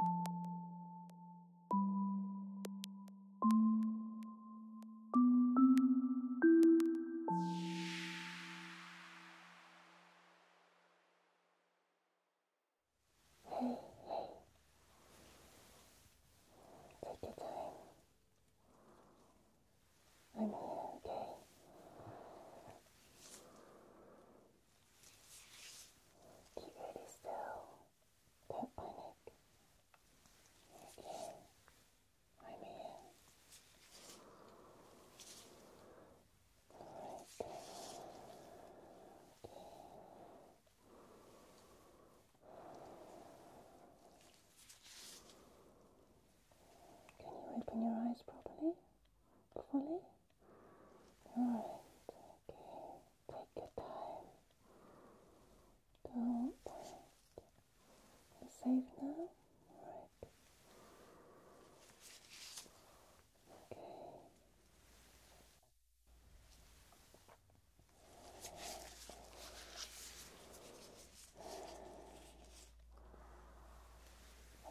Hey, hey. Take your time. I'm here, okay? Keep really still. Don't panic. okay. I'm here. Alright, Can you open your eyes properly? Fully? Alright, okay. Take your time. Don't panic. You're safe now? Alright.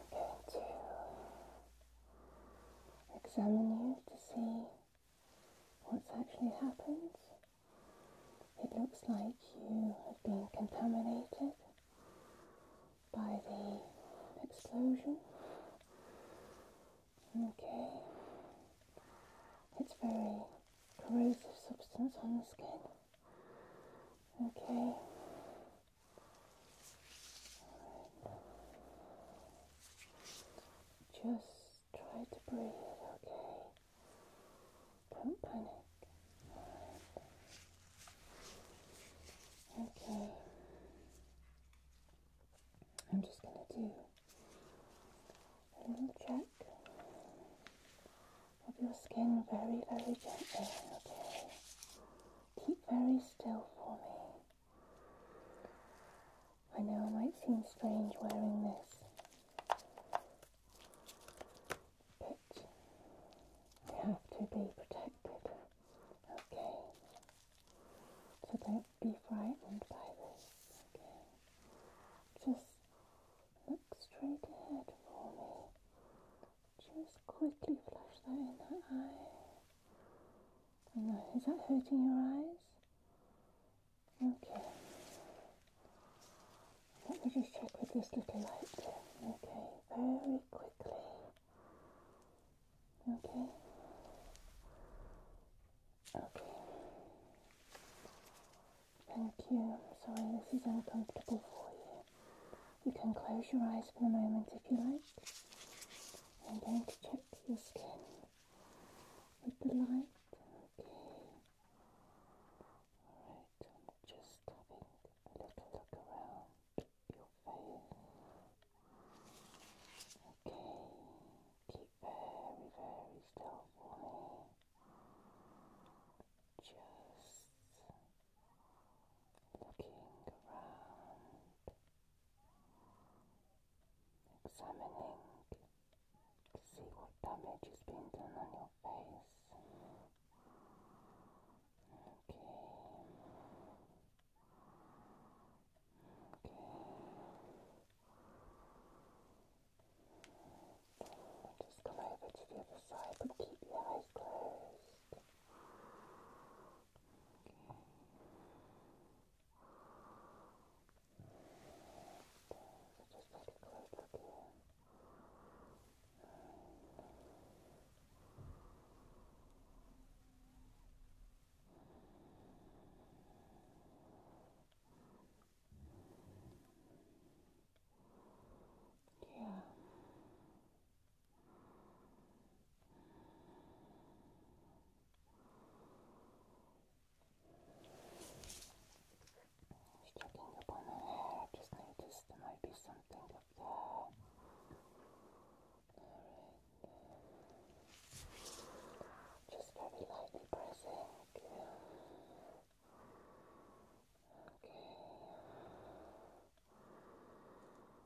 Okay. I'm going to examine you to see what's actually happened. It looks like you have been contaminated by the explosion. Okay, it's very corrosive substance on the skin. Okay, just try to breathe, okay? Don't panic. Okay. I'm just going to do a little check of your skin very, very gently, okay? Keep very still for me. I know it might seem strange wearing this, but we have to be protected, okay? So don't be frightened by this, okay? Just look straight ahead for me. Just quickly flash that in the eye. Is that hurting your eyes? Okay. Let me just check with this little light. Okay, very quickly. Okay. Okay. Thank you. I'm sorry, this is uncomfortable for you. You can close your eyes for the moment if you like. I'm going to check your skin with the light. Okay. Alright, I'm just having a little look around your face. Okay, keep very, very still for me. Just looking around examining to see what damage is being done on your face. Okay. Okay. just come over to the other side, but keep your eyes closed. So just take a close look here. Yeah. Just checking hair, i just noticed there might be something up there. Alright, just very lightly pressing. Okay.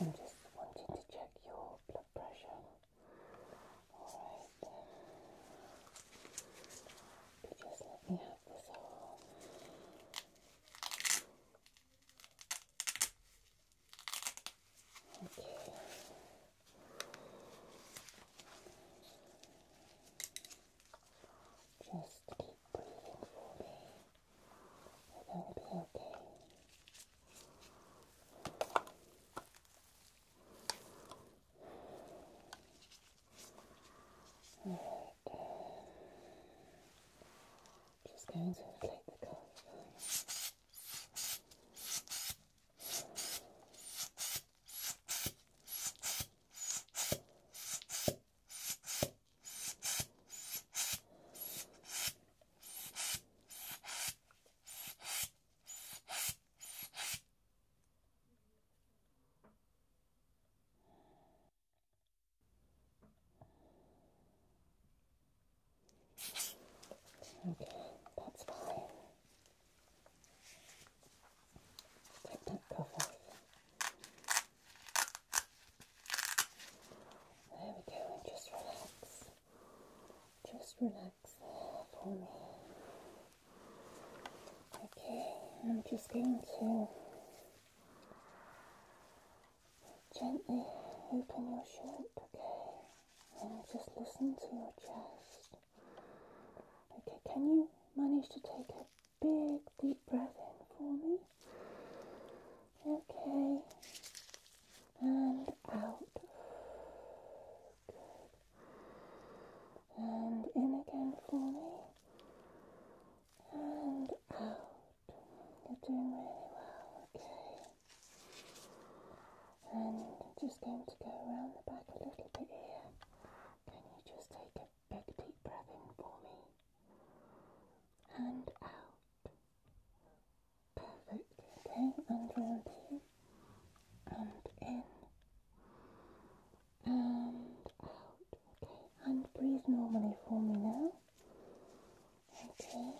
I'm just wanting to check your blood pressure. Alright. just let me have this Okay. Just keep breathing for me. You're going to be okay. All right. Just going to inflate the collar. Okay. Okay, that's fine. Take that cuff off. There we go, just relax. Just relax for me. Okay, I'm just going to gently open your shirt, okay? And just listen to your chest. Okay, can you manage to take it? big deep breath in for me. Okay, and out. Good. And in again for me. And out. You're doing really well. Okay. And just going to go around the back a little bit here. Can you just take a big deep breath in for me? and out. Perfect. Okay, and round and in and out. Okay, and breathe normally for me now. Okay.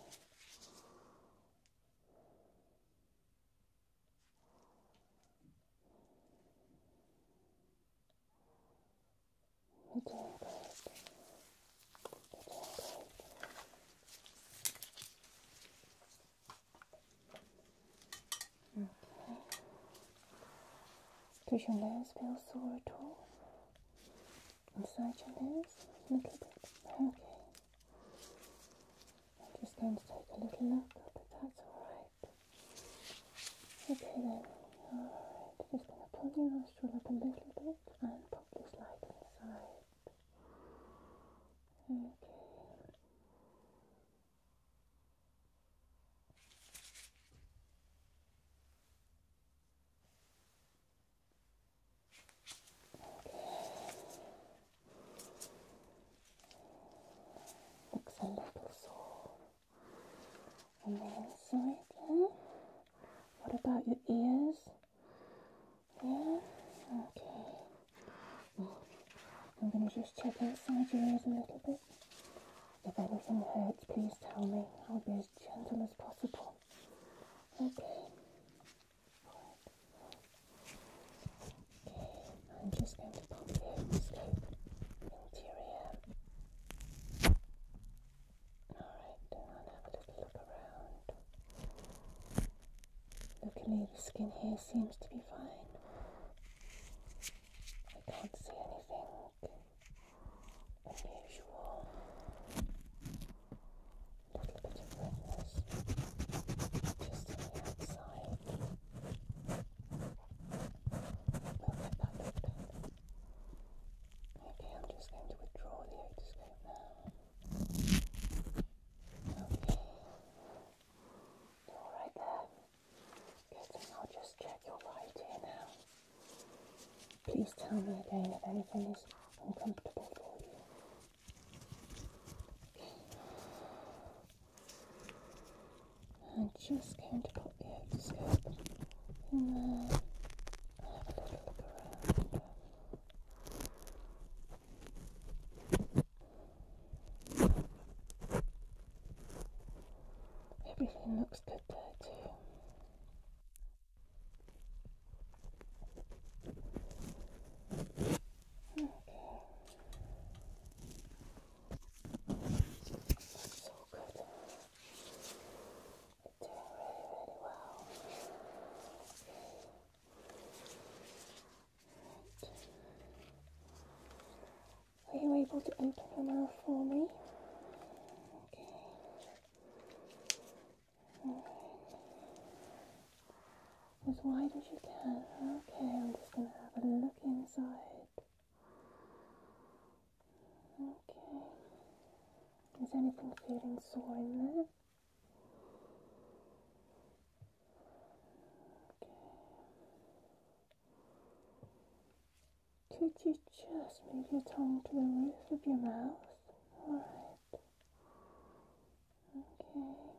Does your nose feel sore at all? Inside your A little bit. Okay. I'm just going to take a little look, but that's alright. Okay then, alright, just gonna pull your nostril up a little bit and pop this light inside. Okay. Looks a little sore on the inside there. What about your ears? Yeah? Okay. I'm going to just check inside your ears a little bit. If anything hurts, please tell me. I'll be as gentle as possible. Okay. Okay, I'm just going to pop the scope into Alright, I'll have a little look around. Luckily, the skin here seems to be fine. I can't see anything unusual. A little bit of redness just on the outside. We'll get Okay, I'm just going to withdraw the otoscope now. Okay. You're right there. I'll just check your right ear now. Please tell me again if anything is uncomfortable for you. I'm just going to put the otoscope in there. Have a little look around. Everything looks good there too. Okay. That's good are you able to open the mouth for me? Okay. As wide as you can. Okay, I'm just going to have a look inside. Okay. Is anything feeling sore in there? Okay. Could you just move your tongue to the roof of your mouth? Alright. Okay. Alright.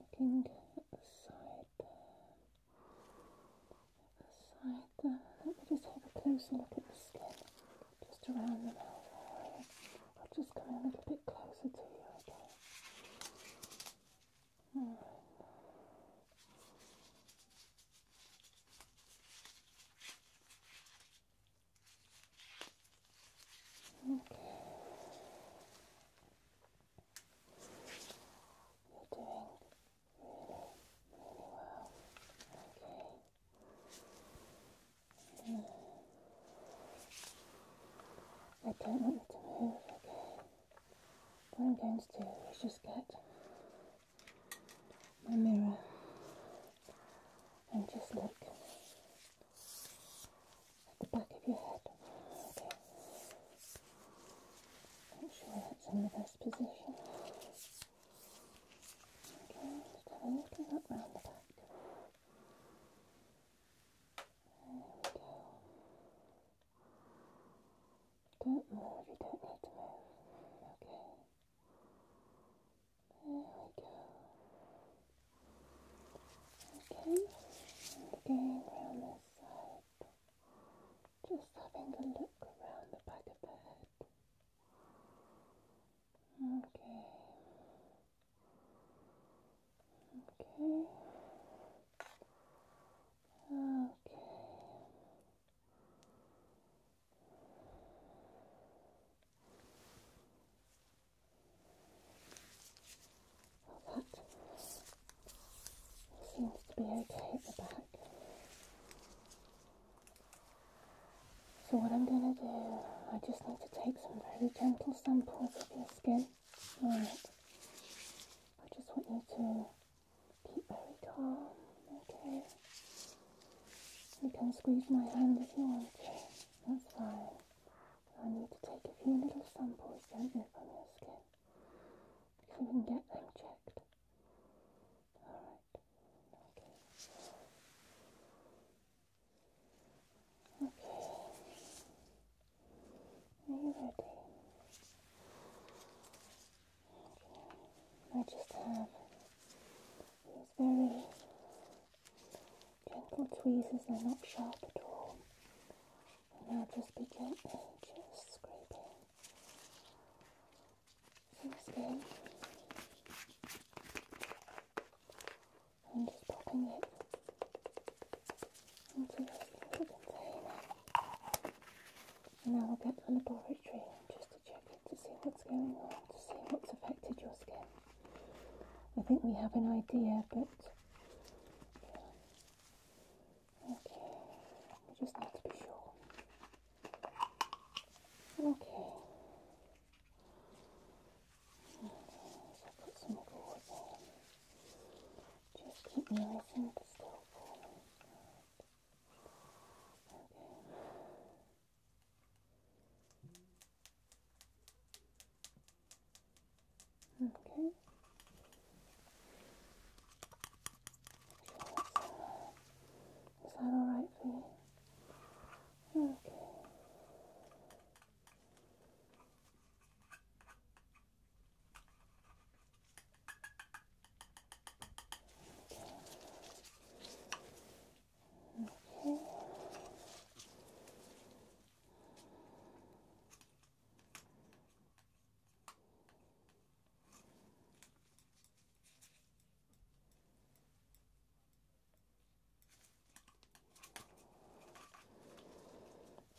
Looking at the side there, the side there. Let me just have a closer look at the skin, just around the mouth area. I'll just come a little bit closer to you, okay? Okay. You're doing really, really well. Okay. I don't want you to move, okay? What I'm going to do is just get my mirror and just look at the back of your head. Okay. Make sure that's in the best position. Okay, just a little look round the back. There we go. Don't move, you don't need to move. Okay we go. Okay, and going around this side, just having a look around the back of the head. Okay. Okay. Okay that seems to be okay at the back. So what I'm going to do, I just need to take some very gentle samples of your skin. Alright. I just want you to keep very calm, okay? You can squeeze my hand if you want to. That's fine. I need to take a few little samples, don't from your skin. If you can get them checked. Alright. Okay. Okay. Are you ready? Okay. I just have those very gentle tweezers, they're not sharp at all. And now just be gently just scraping some skin and just popping it into this little container. And now we'll get to the laboratory just to check it to see what's going on, to see what's affected your skin. I think we have an idea, but okay, we just need to be sure. Okay. Just keep my eyes still Okay. Okay. is that alright for you? Okay. Okay.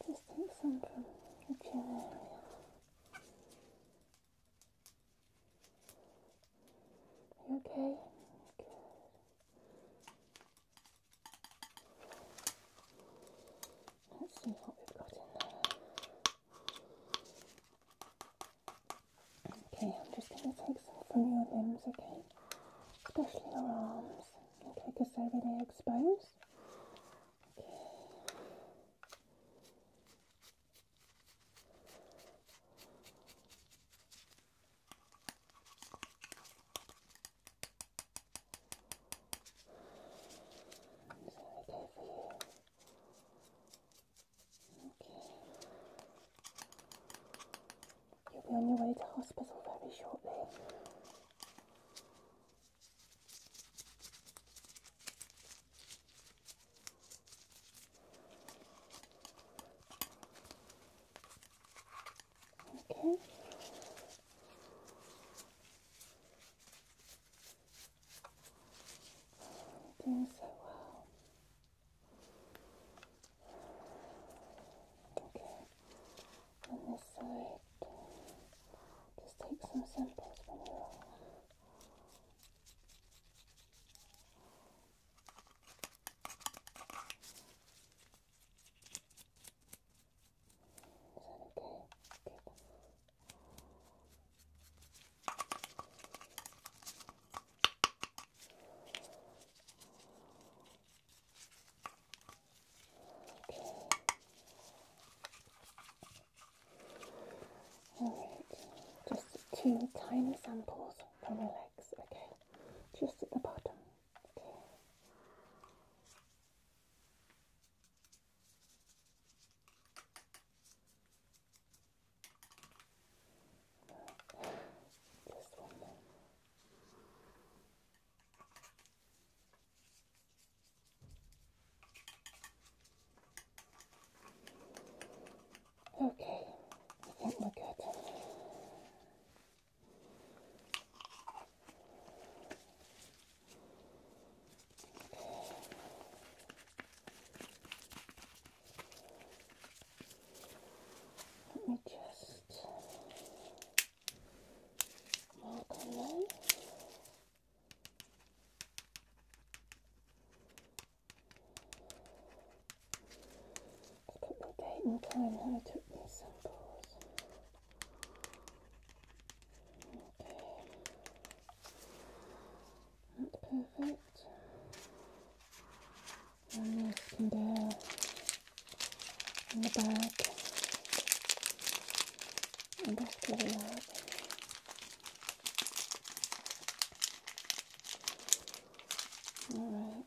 Just take some from the chin area. You okay? Good. Let's see what we've got in there. Okay, I'm just going to take some from your limbs, okay? Especially your arms, okay, because they're really exposed. Okay okay You'll be on your way to hospital very shortly. Okay. Doing so well. Okay. On this side, just take some samples from your okay? Good. Okay. Alright, just two tiny samples to relax, okay? just at the bottom. Okay. Just one more. Okay, I think we're good. Let me just mark on I the my date and time when I took these samples. Okay. That's perfect. And this can go in the bag. And that's pretty hard. Alright.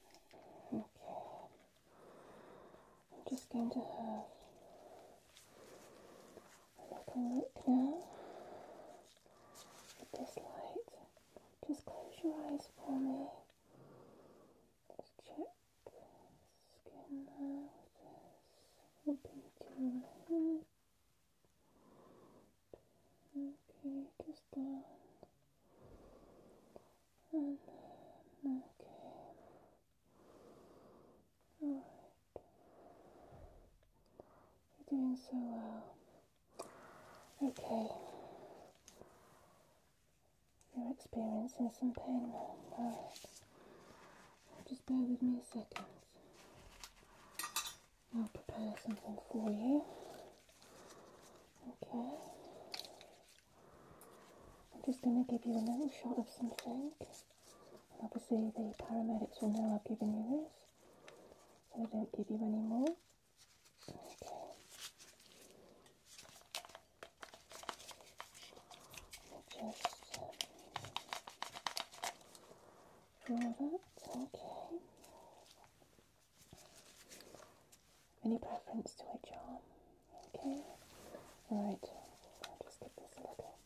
Okay. I'm just going to have a little look now with this light. Just close your eyes for me. Let's check skin now with this. Open to your head. Okay, just you're doing so well. Okay. You're experiencing some pain Just bear with me a second. I'll prepare something for you. Okay. I'm just going to give you a little shot of something. And obviously the paramedics will know I've given you this. So I don't give you any more. Okay. Just draw that. Okay. Any preference to which arm? Okay. Right. just give this a little.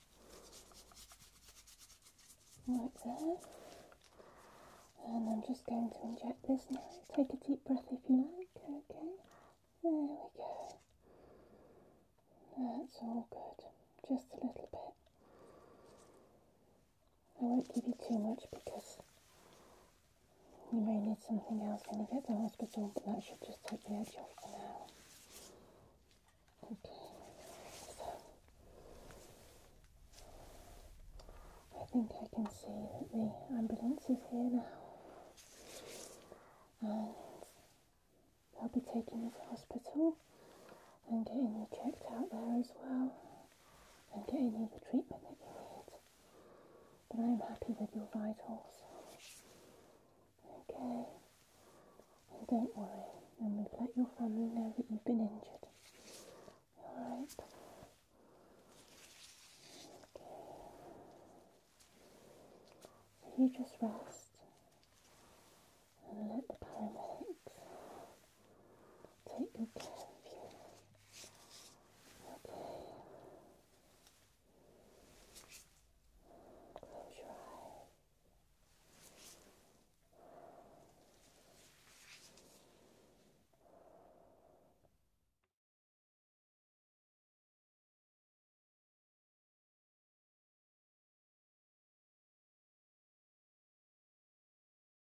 Right there. And I'm just going to inject this now. Take a deep breath if you like. Okay. There we go. That's all good. Just a little bit. I won't give you too much because you may need something else when you get to the hospital, but that should just take the edge off for now. Okay, I think I can see that the ambulance is here now, and they'll be taking you to hospital and getting you checked out there as well and getting you the treatment that you need. But I'm happy with your vitals. Okay? And don't worry, and we've let your family know that you've been injured. Alright? Okay. you just rest and let the paramedics that you can feel. Okay. Close your eyes.